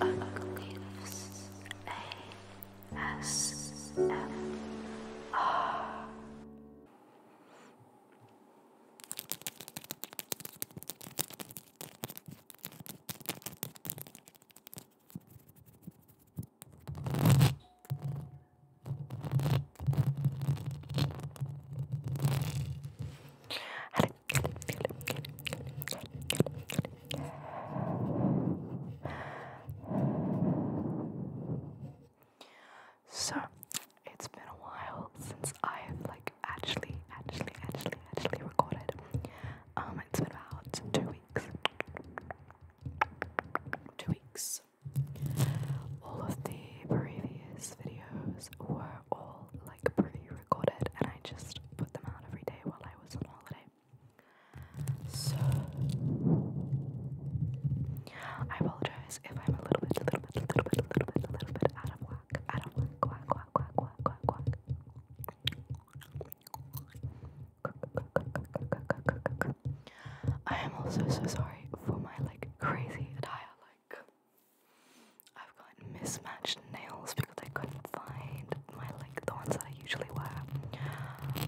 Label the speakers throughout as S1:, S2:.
S1: Uglives, so it's been a while since I've like actually, actually, actually, actually recorded. Um, it's been about two weeks. Two weeks. All of the previous videos these were all like pre-recorded and I just put them out every day while I was on holiday. So I apologize if I'm a little bit, a little bit, a little bit, a little bit, a little bit out of whack, out of whack, whack, whack, whack, whack, whack, whack. I am also so sorry for my like crazy attire, like I've got mismatched nails because I couldn't find my like the ones that I usually wear.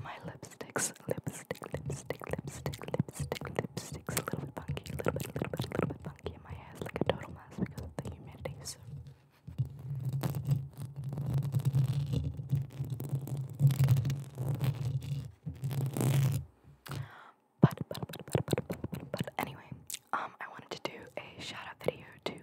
S1: My lipsticks, lipstick, lipstick, lipstick, lipstick, lipsticks, a little bit funky, a little bit, a little bit, a little bit funky, and my hair's like a total mess because of the humidity. So. But, but, but, but, but, but, but, but, anyway, um, I wanted to do a shout out video to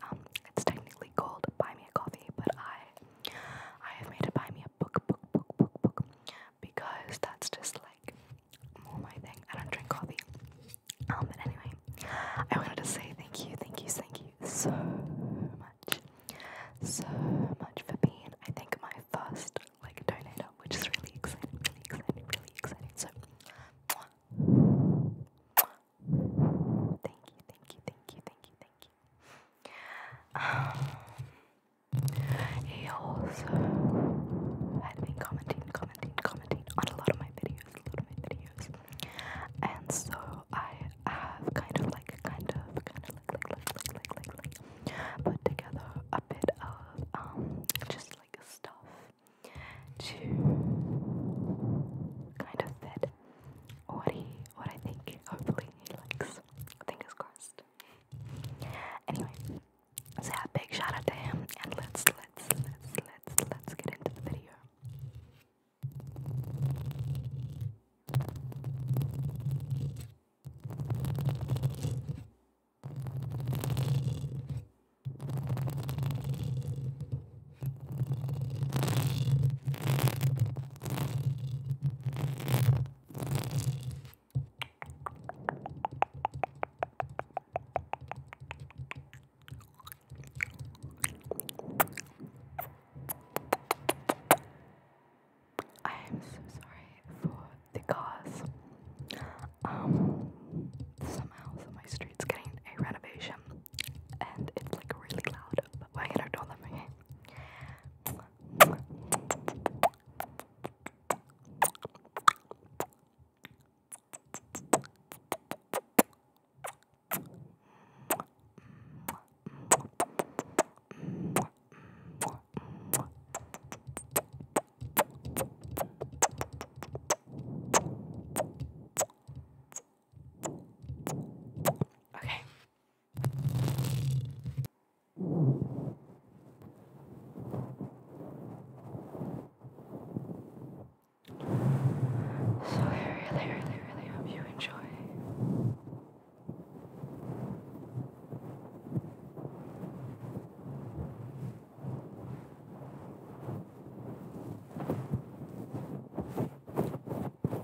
S1: um, it's technically called Buy Me a Coffee, but I, I have made it Buy Me a Book, Book, Book, Book, Book, because that's just like more my thing. I don't drink coffee. Um, but anyway, I wanted to say thank you, thank you, thank you so much, so much for being. I think my first like donator, which is really exciting, really exciting, really exciting. So. Mwah. Thank you, thank you, thank you, thank you, thank um, he also had been commenting, commenting, commenting on a lot of my videos, a lot of my videos, and so I have kind of like, kind of, kind of like, like, like, like, like, like, like put together a bit of um, just like stuff to kind of fit what he, what I think. Hopefully he likes. Fingers crossed. Anyway, so yeah, big shout out to him, and let's let's let's let's let's get into the video. I am so sorry for the cars. Um, somehow, my street's getting a renovation and it's like really loud. But I don't let me? Okay, so I really, really, really hope you enjoy.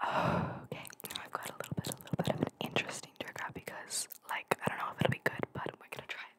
S1: Okay, now I've got a little bit, a little bit of an interesting trigger because, like, I don't know if it'll be good, but we're gonna try it.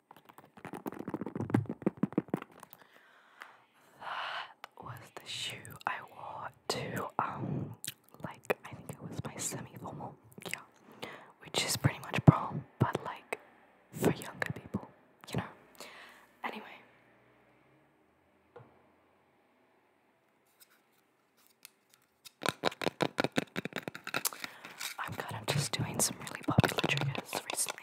S1: That was the shoe I wore to um like I think it was my semi-formal, yeah, which is pretty much prom, but like for younger people, you know. Anyway. I'm kind of just doing some really popular triggers recently.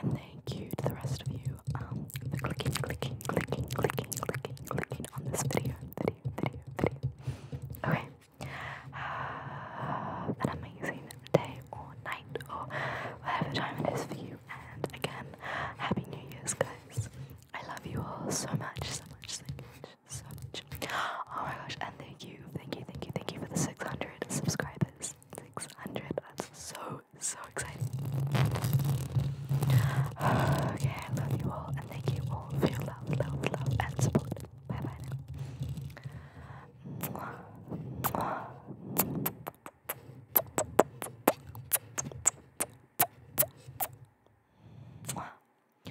S1: and thank you to the rest of you um, clicking, clicking, clicking, clicking, clicking, clicking on this video, video, video, video. Okay, have an amazing day or night or whatever time it is for you. And again, happy New Year's, guys. I love you all so much, so much, so much, so much. Oh my gosh! And thank you, thank you, thank you, thank you for the 600 subscribers. 600. That's so so exciting. Okay, love you all and thank you all for your love, love, love and support. Bye bye